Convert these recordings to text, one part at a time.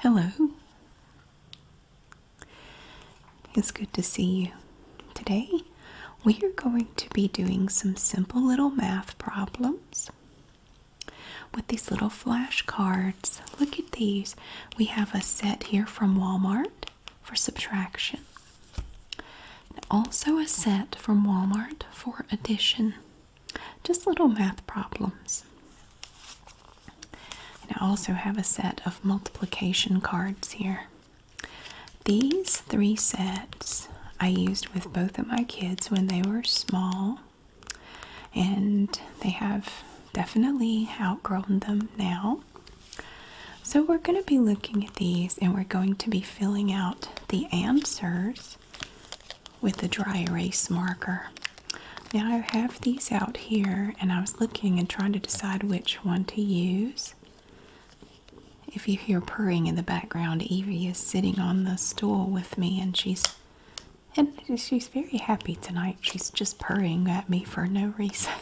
Hello. It's good to see you. Today, we are going to be doing some simple little math problems with these little flashcards. Look at these. We have a set here from Walmart for subtraction, and also a set from Walmart for addition. Just little math problems. And I also have a set of multiplication cards here. These three sets I used with both of my kids when they were small, and they have definitely outgrown them now. So, we're going to be looking at these and we're going to be filling out the answers with a dry erase marker. Now I have these out here and I was looking and trying to decide which one to use. If you hear purring in the background, Evie is sitting on the stool with me and she's and she's very happy tonight. She's just purring at me for no reason.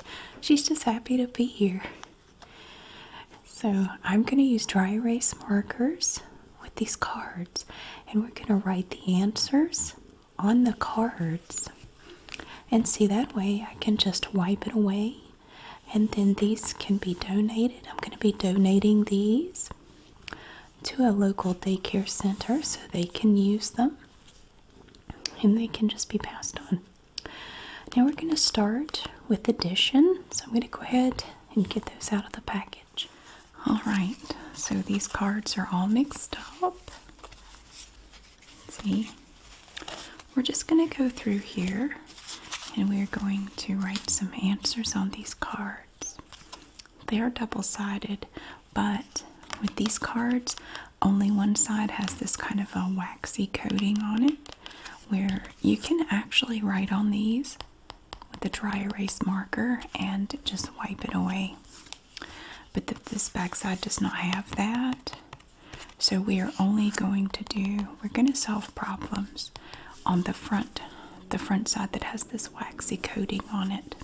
she's just happy to be here. So I'm going to use dry erase markers with these cards and we're going to write the answers on the cards. And see, that way I can just wipe it away and then these can be donated. I'm going to be donating these to a local daycare center so they can use them and they can just be passed on. Now we're going to start with addition. So I'm going to go ahead and get those out of the package. All right, so these cards are all mixed up. see, we're just going to go through here and we're going to write some answers on these cards. They are double sided, but with these cards, only one side has this kind of a waxy coating on it where you can actually write on these with a dry erase marker and just wipe it away. But the, this backside does not have that. So we are only going to do, we're going to solve problems on the front, the front side that has this waxy coating on it.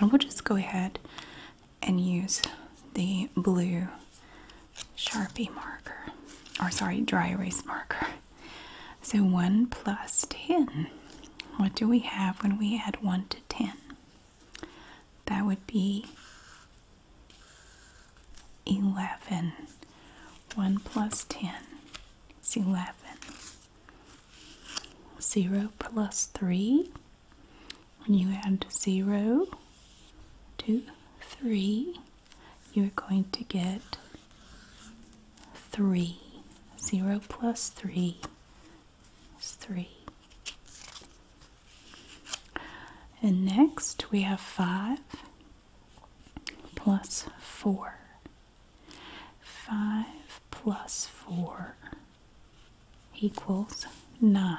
And we'll just go ahead and use the blue Sharpie marker, or sorry, dry erase marker. So 1 plus 10. What do we have when we add 1 to 10? That would be 11. 1 plus 10 is 11. 0 plus 3. When you add 0 to 3, you're going to get 3. 0 plus 3 is 3. And next we have 5 plus 4. 5 plus 4 equals 9.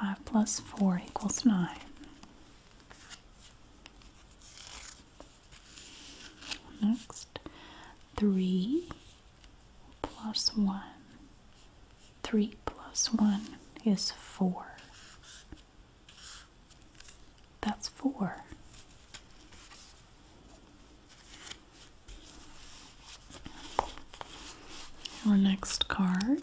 5 plus 4 equals 9. Next, three plus one. Three plus one is four. That's four. Our next card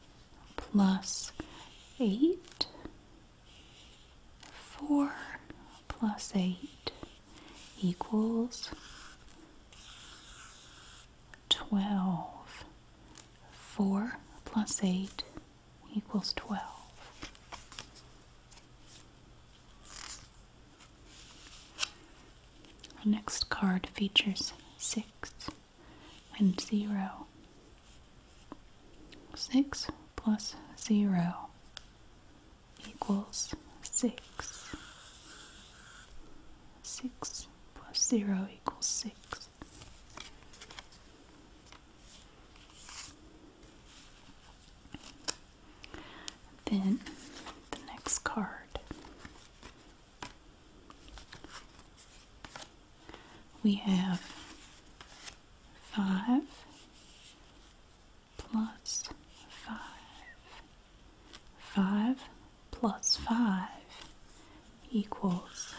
plus 8. 4 plus 8 equals 12. 4 plus 8 equals 12. Our next card features 6 and 0. 6 plus 0 equals 6. 6 plus 0 equals 6. Then the next card we have 5 plus 5. 5 plus 5 equals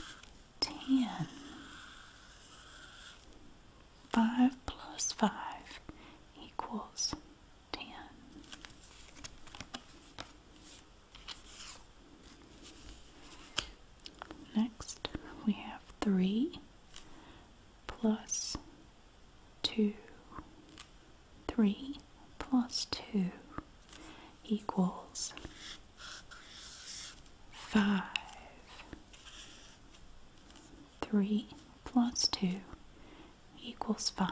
10. 5 plus 5 equals 10. Next, we have 3 plus 2. 3 plus 2 equals 5. 3 plus 2 equals 5.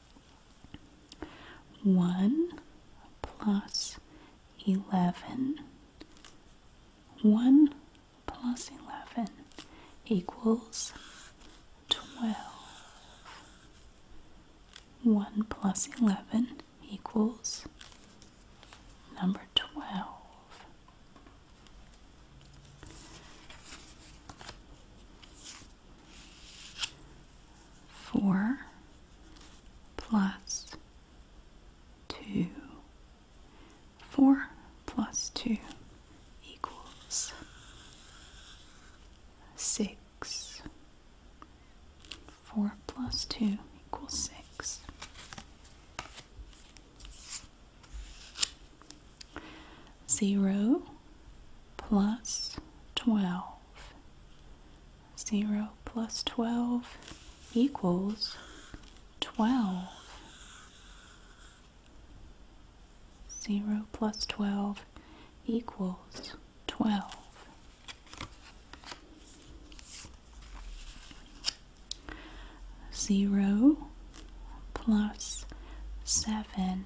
1 plus 11. 1 plus 11 equals 12. 1 plus 11 equals number 12. Four plus two. Four plus two equals six. Four plus two equals six. Zero plus twelve 0 plus 12 equals 12. 0 plus 12 equals 12. Zero plus seven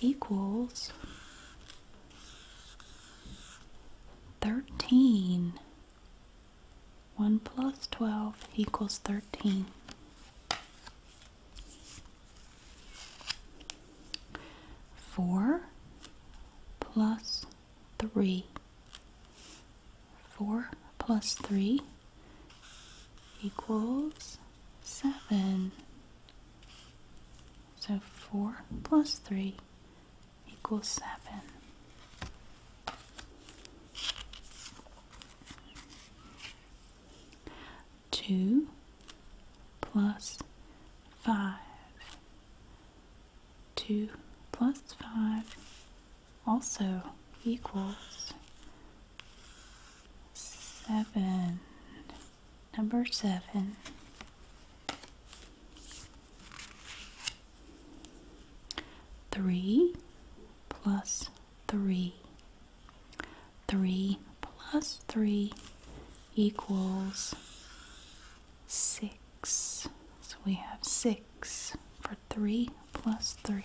equals 13. 1 plus 12 equals 13. Four plus three. Four plus three equals seven. So 4 plus 3 equals 7. Two plus five. Two plus five also equals seven. Number seven. Three plus three. Three plus three equals six. So we have six for three plus three.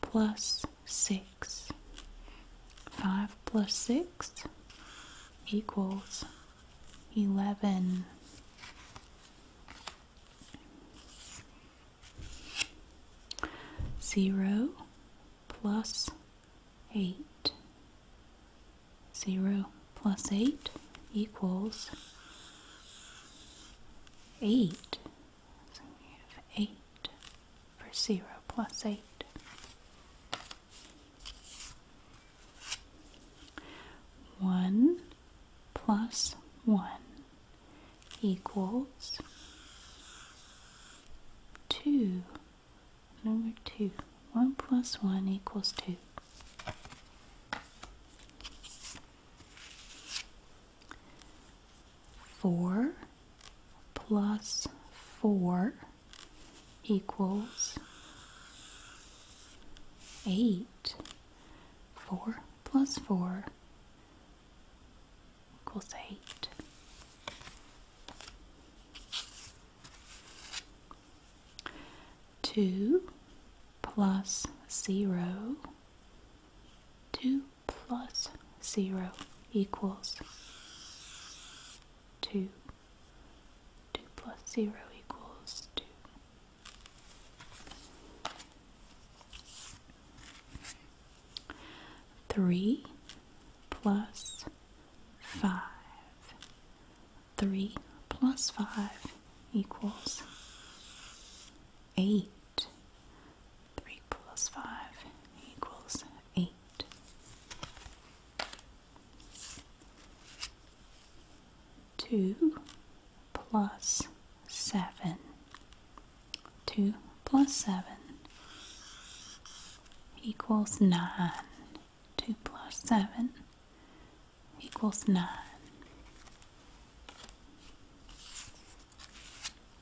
plus 6. 5 plus 6 equals 11. Zero plus eight. Zero plus eight equals eight. So we have eight for 0 plus 8. One plus one equals two. Number two. One plus one equals two. 4 plus 4 equals 8. 4 plus 4 equals 8. Two plus zero, two plus 0 equals 2. 2 plus 0 equals 2. Three plus five. Three plus five equals eight. 3 plus 5 equals 8. Two plus seven. Two plus seven equals nine. Two plus seven equals nine.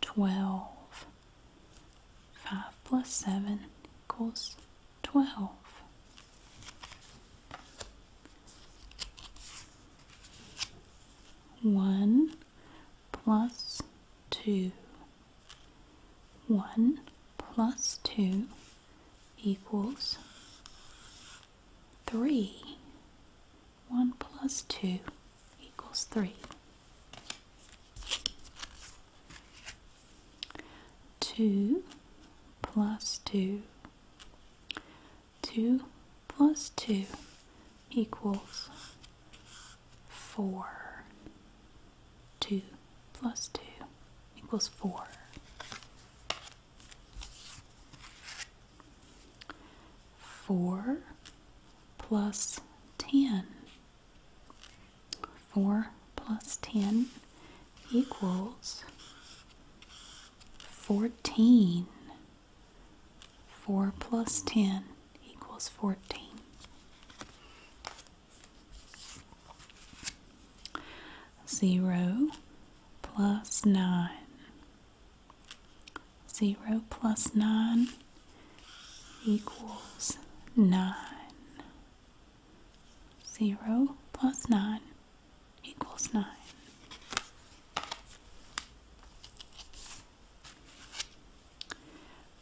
12. 5 plus 7 equals 12. One plus two. One plus two equals 3. 1 plus 2 equals 3. 2 plus 2. 2 plus 2 equals 4. 2 plus 2 equals 4. 4 plus 10. 4 plus 10 equals 14. 4 plus 10 equals 14. Zero plus nine 0 plus 9 equals 9. 0 plus 9 equals 9.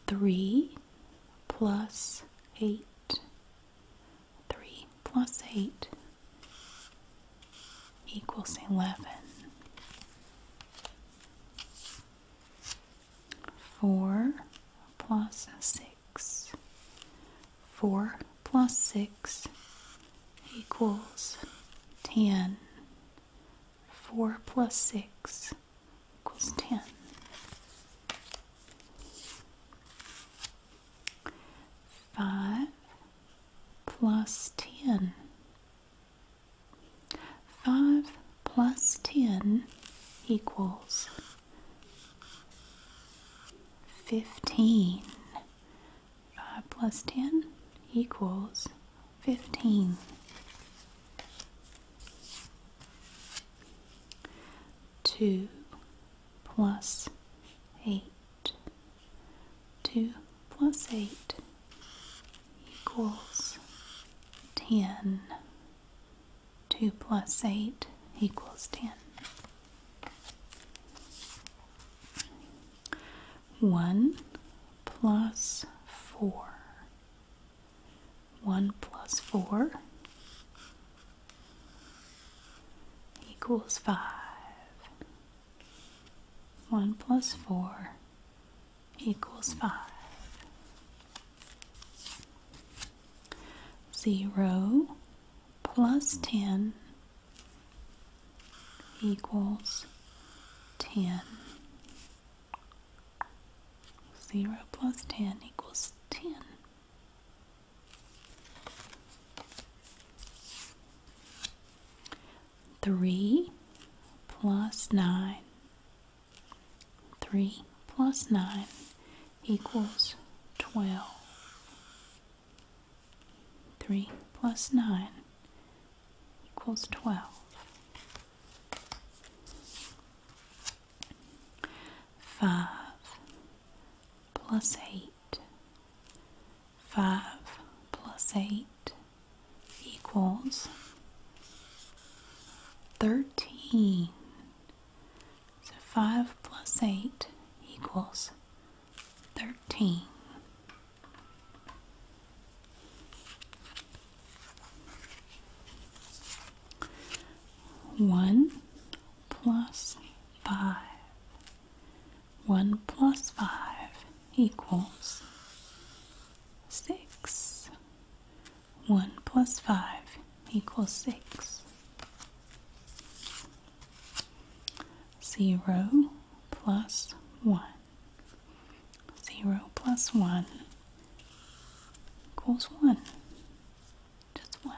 Three plus eight. Three plus eight equals 11. 4 plus 6. 4 plus 6 equals 10. 4 plus 6 equals 10. Five plus ten 5 plus 10 equals 15. 5 plus 10 equals 15. Two plus eight 2 plus 8 equals 10. 2 plus 8 equals 10. 1 plus 4. 1 plus 4 equals 5. 1 plus 4 equals 5. 0 plus 10 equals 10. 0 plus 10 equals 10. 3 plus 9. 3 plus 9 equals 12. 3 plus 9 equals 12. Five plus eight 5 plus 8 equals 13. So 5 plus 8 equals 13. One plus five. One plus five equals 6. 1 plus 5 equals 6. 0 plus 1. 0 plus 1 equals 1. Just 1.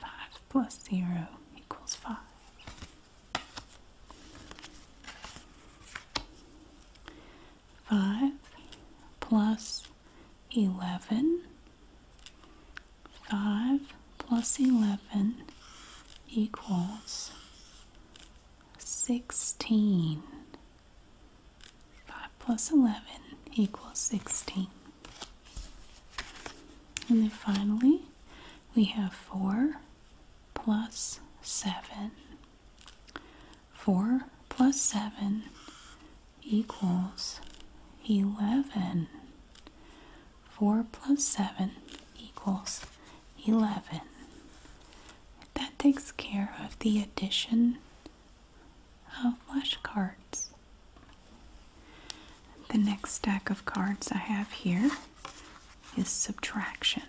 5 plus 0 equals 5. Five plus eleven. Five plus eleven equals sixteen. Five plus eleven equals sixteen. And then finally, we have 4 plus 7. 4 plus 7 equals 11. 4 plus 7 equals 11. That takes care of the addition of flashcards. The next stack of cards I have here is subtraction.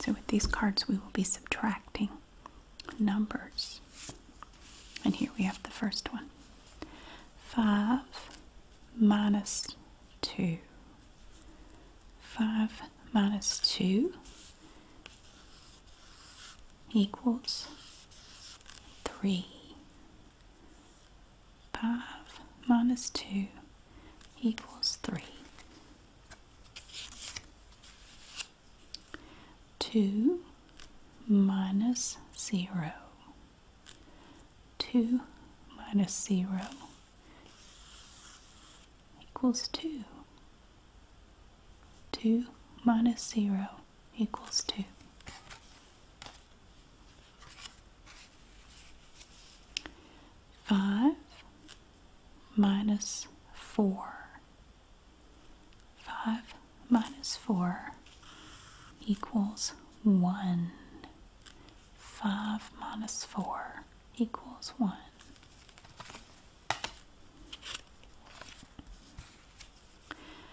So, with these cards, we will be subtracting numbers. And here we have the first one 5 minus 2. 5 minus 2 equals 3. 5 minus 2 equals 3. 2 minus 0. 2 minus 0 equals 2. 2 minus 0 equals 2. Five minus four. Five minus four equals one. Five minus four equals one.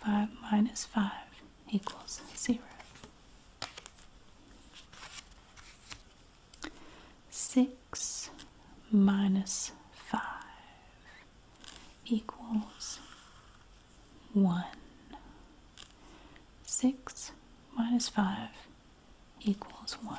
5 minus 5 equals 0. 6 minus 5 equals 1. 6 minus 5 equals 1.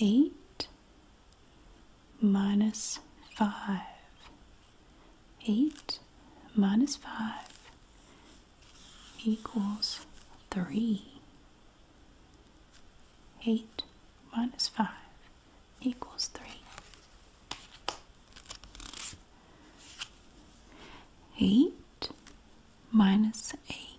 eight minus five. Eight minus five equals three. Eight minus five equals three. Eight minus eight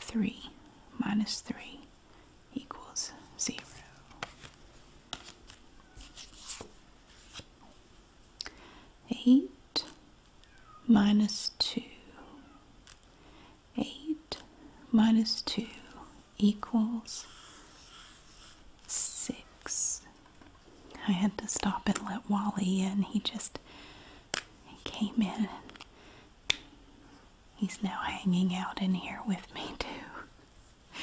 3 minus 3 equals 0. Eight minus two. Eight minus two equals six. I had to stop and let Wally in. He just came in He's now hanging out in here with me too.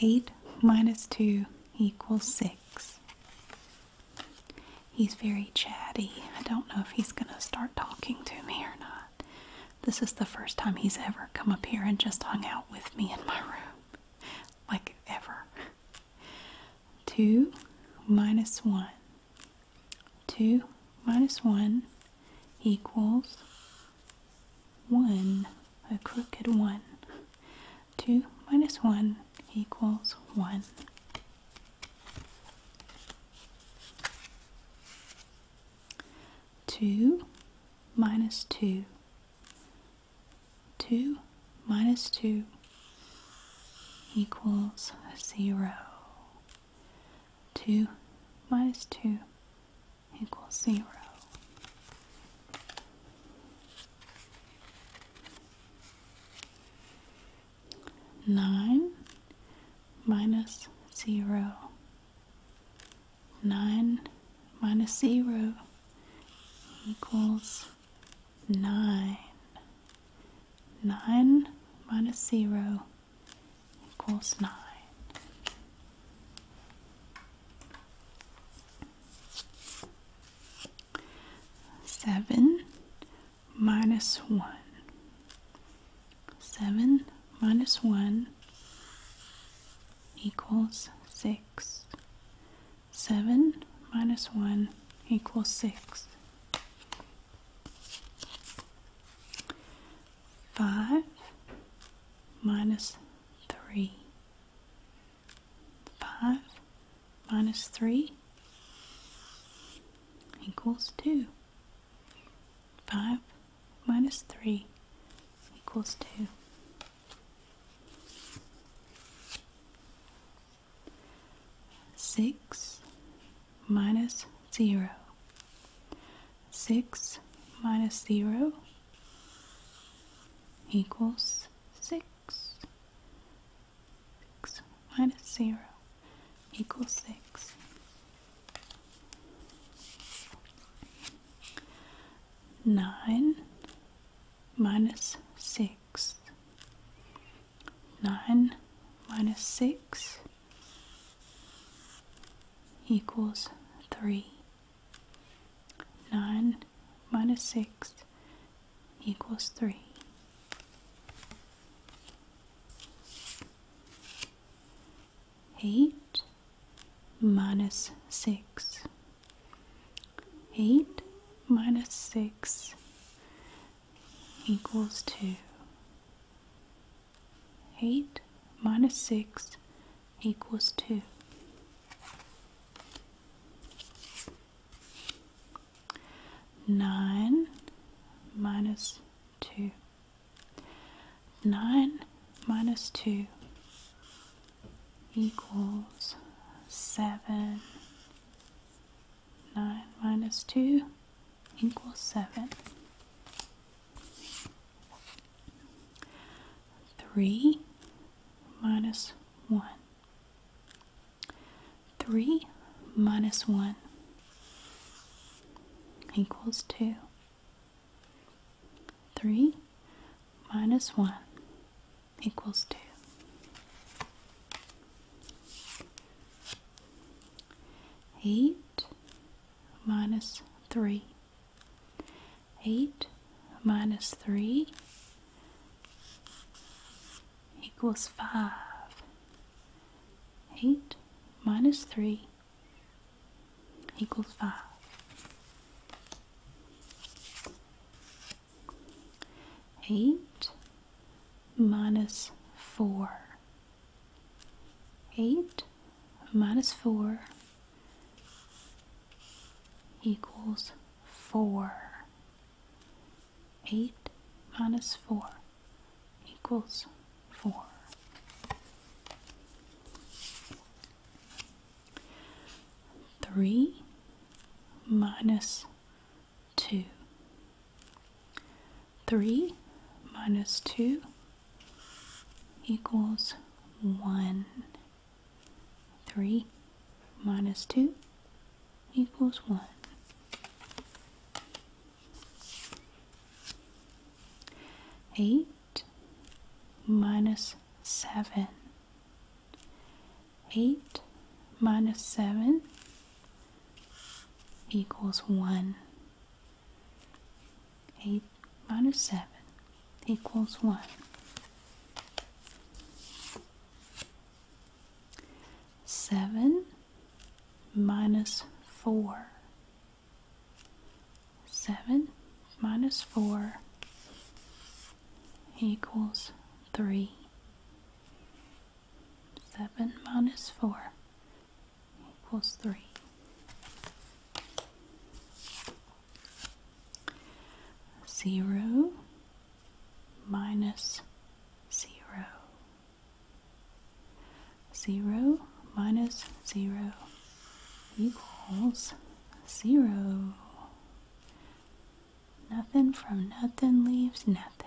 8 minus 2 equals 6. He's very chatty. I don't know if he's going to start talking to me or not. This is the first time he's ever come up here and just hung out with me in my room. Like ever. 2 minus 1 2 minus 1 equals 1, a crooked 1. 2 minus 1 equals 1. Two minus two. Two minus two equals zero. 2 minus 2 equals 0. Nine minus zero. Nine minus zero equals nine. Nine minus zero equals 9. Seven minus one. Seven minus one equals six. Seven minus one equals six. 5 minus 3. 5 minus 3 equals 2. 5 minus 3 equals 2. Six minus 0. 6 minus 0 equals 6. 6 minus 0 equals 6. Nine minus six. Nine minus six equals 3. 9 minus 6 equals 3. Eight minus six. Eight minus six equals two. 8 minus 6 equals 2. Nine minus two. Nine minus two equals seven. Nine minus two equals seven. 3 minus 1. 3 minus 1 equals 2. 3 minus 1 equals 2. Eight minus 3. 8 minus 3 equals 5. 8 minus 3 equals 5. Eight minus four 8 minus 4 equals 4. 8 minus 4 equals 4. Three minus two 3 minus 2 equals 1. 3 minus 2 equals 1. Eight minus seven. Eight minus seven equals one. 8 minus 7 equals 1. Seven minus four. Seven minus four equals three. Seven minus four equals 3. Zero minus zero. Zero minus zero equals zero. Nothing from nothing leaves nothing.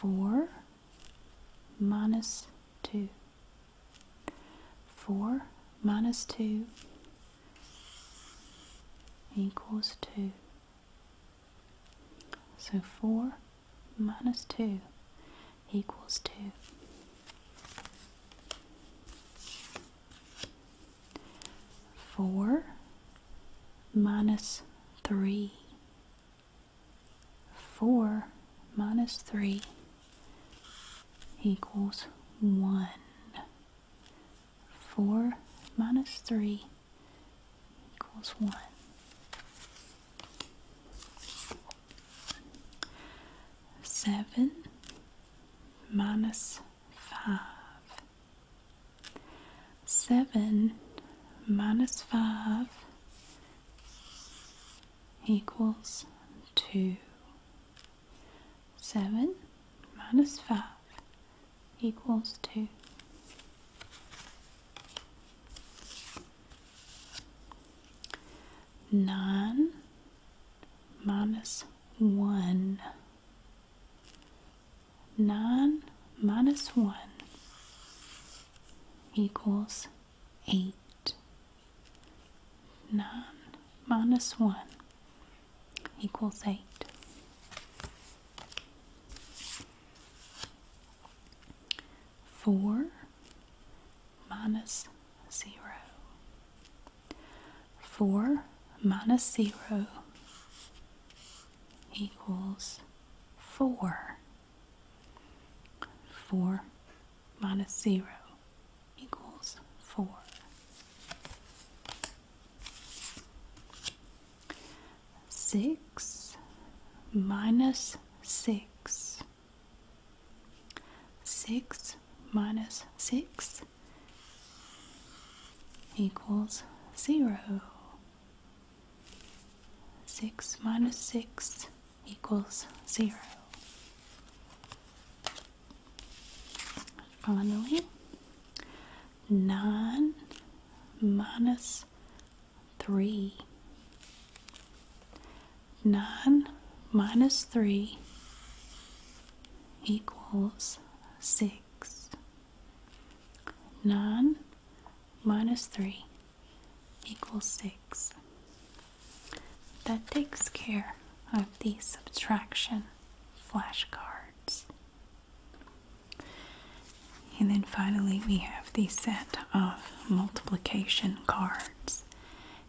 4 minus 2. 4 minus 2 equals 2. So 4 minus 2 equals 2. Four minus three 4 minus 3 equals 1. 4 minus 3 equals 1. Seven minus five. Seven minus five equals 2. 7 minus 5 equals 2. Nine minus one. Nine minus one equals eight, nine minus one equals eight. Four minus zero. Four minus zero equals four. 4 minus 0 equals 4. Six minus six. Six minus six equals zero. Six minus six equals zero. Finally, nine minus three. Nine minus three equals six. Nine minus three equals 6. That takes care of the subtraction flashcards. And then finally we have the set of multiplication cards.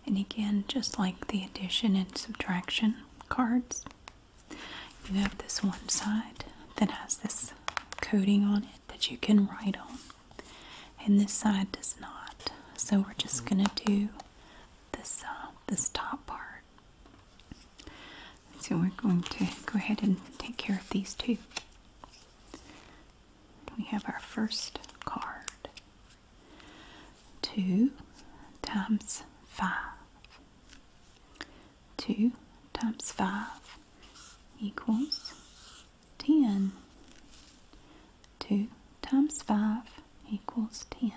And again, just like the addition and subtraction cards, you have this one side that has this coating on it that you can write on and this side does not. So we're just mm-hmm. going to do this uh, this top part. So we're going to go ahead and take care of these two. We have our first card. 2 times 5. 2 times 5 equals 10. 2 times 5 equals 10.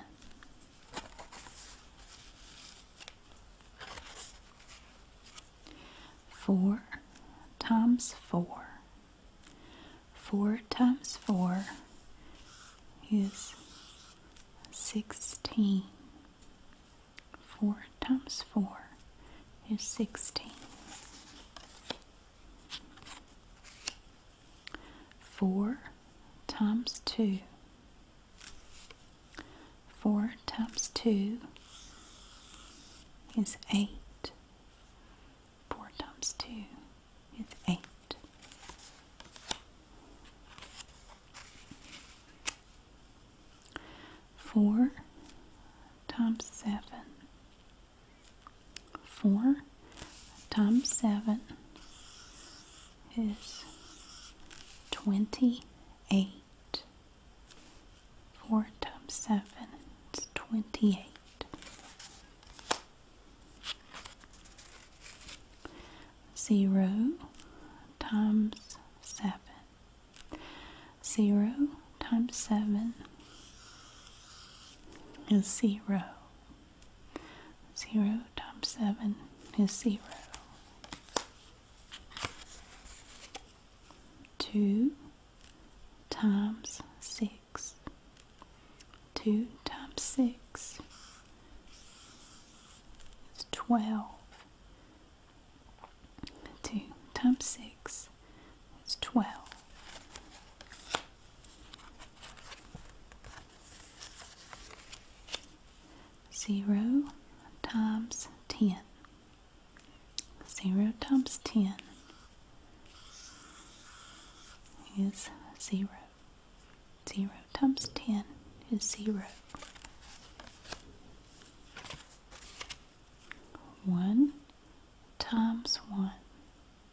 Four times four. Four times four is sixteen. Four times four is sixteen. 4 times 2. 4 times 2 is 8. 4 times 2 is 8. Four times seven 4 times 7 is 28. 4 times 7 is 28. Zero times seven. Zero times seven is zero. Zero times seven is zero. Two times six. Two times six is twelve. Two times six that's 12. Zero times ten. Zero times ten is zero. Zero times ten is zero. One times one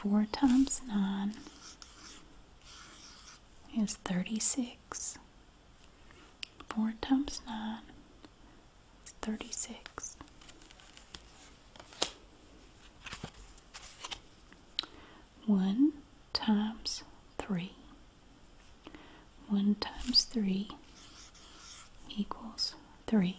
4 times 9 is 36. 4 times 9 is 36. One times three. One times three equals three.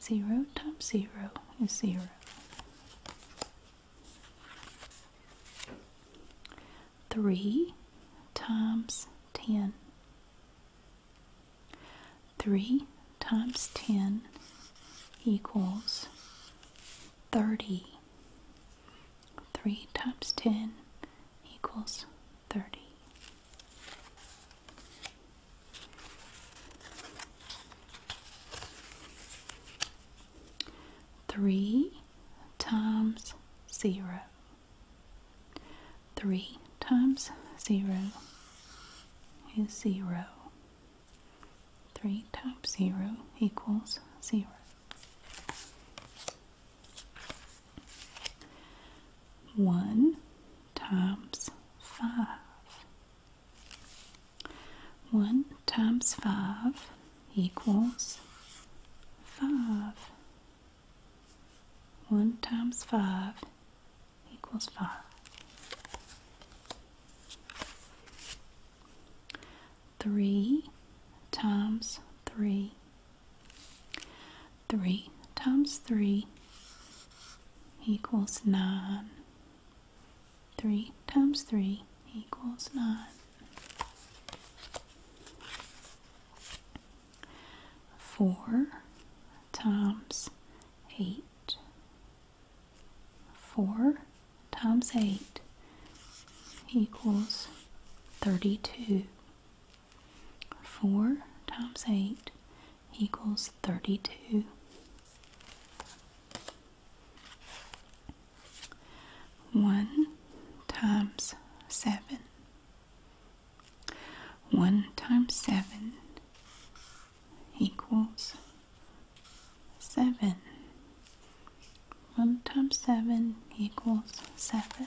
0 times 0 is 0. 3 times 10. 3 times 10 equals 30. 3 times 10 equals 30. Three times zero. Three times zero is zero. Three times zero equals zero. 1 times 5. 1 times 5 equals 5. 1 times 5 equals 5. Three times three 3 times 3 equals 9. 3 times 3 equals 9. Four times eight. Four times eight equals thirty-two. Four times eight equals 32. One times seven. One times seven equals seven. One times seven equals seven.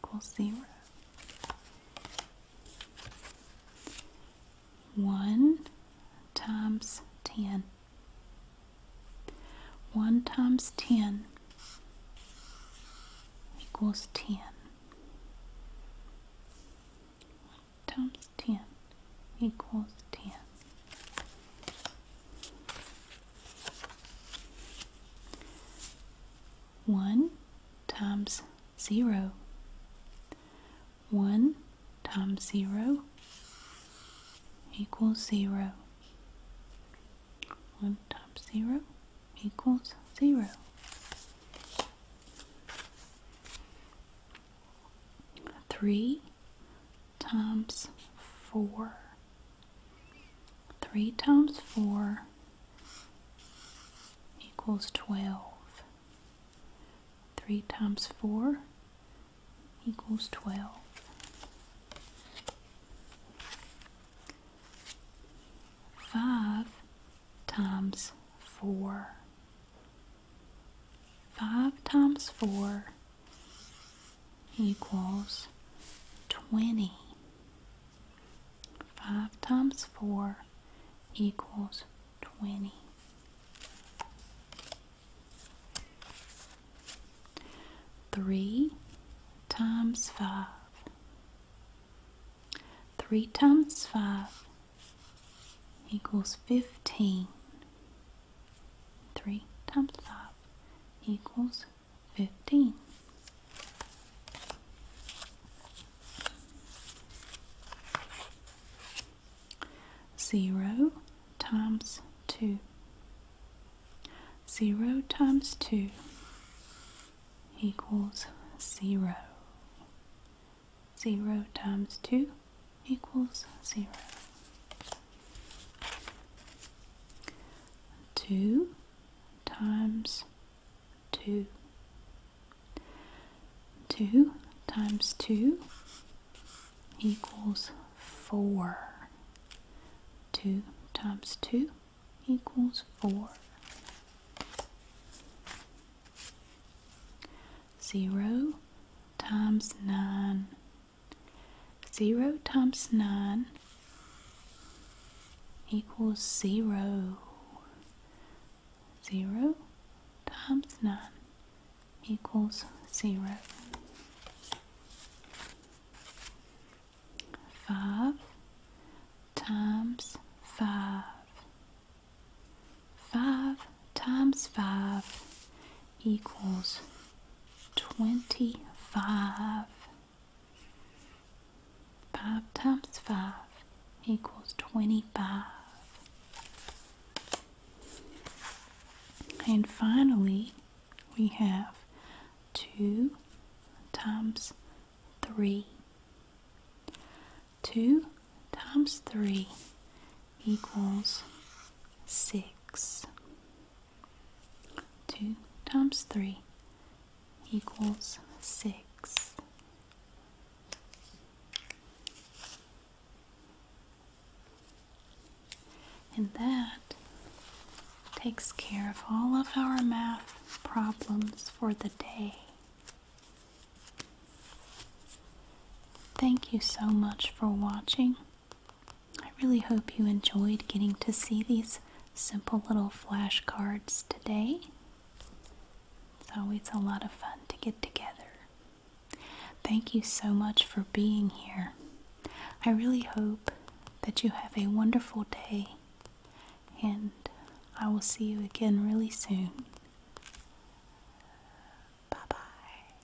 equals 0. 1 times 10. 1 times 10 equals 10. 1 times 10 equals 10. 1 times 0. 1 times 0 equals 0. 1 times 0 equals 0. Three times four 3 times 4 equals 12. 3 times 4 equals 12. Five times four. Five times four equals twenty. 5 times 4 equals 20. Three times five. Three times five equals fifteen. Three times five equals 15 0 times 2 0 times 2 equals 0 0 times 2 equals 0 2 times 2. 2 times 2 equals 4. 2 times 2 equals 4. 0 times 9. 0 times 9 equals zero. Zero times nine equals zero. Five times five. Five times five equals twenty-five. 5 times 5 equals 25. And finally, we have 2 times 3. 2 times 3 equals 6. 2 times 3 equals 6. And that takes care of all of our math problems for the day. Thank you so much for watching. I really hope you enjoyed getting to see these simple little flashcards today. So It's a lot of fun to get together. Thank you so much for being here. I really hope that you have a wonderful day, and I will see you again really soon. Bye bye.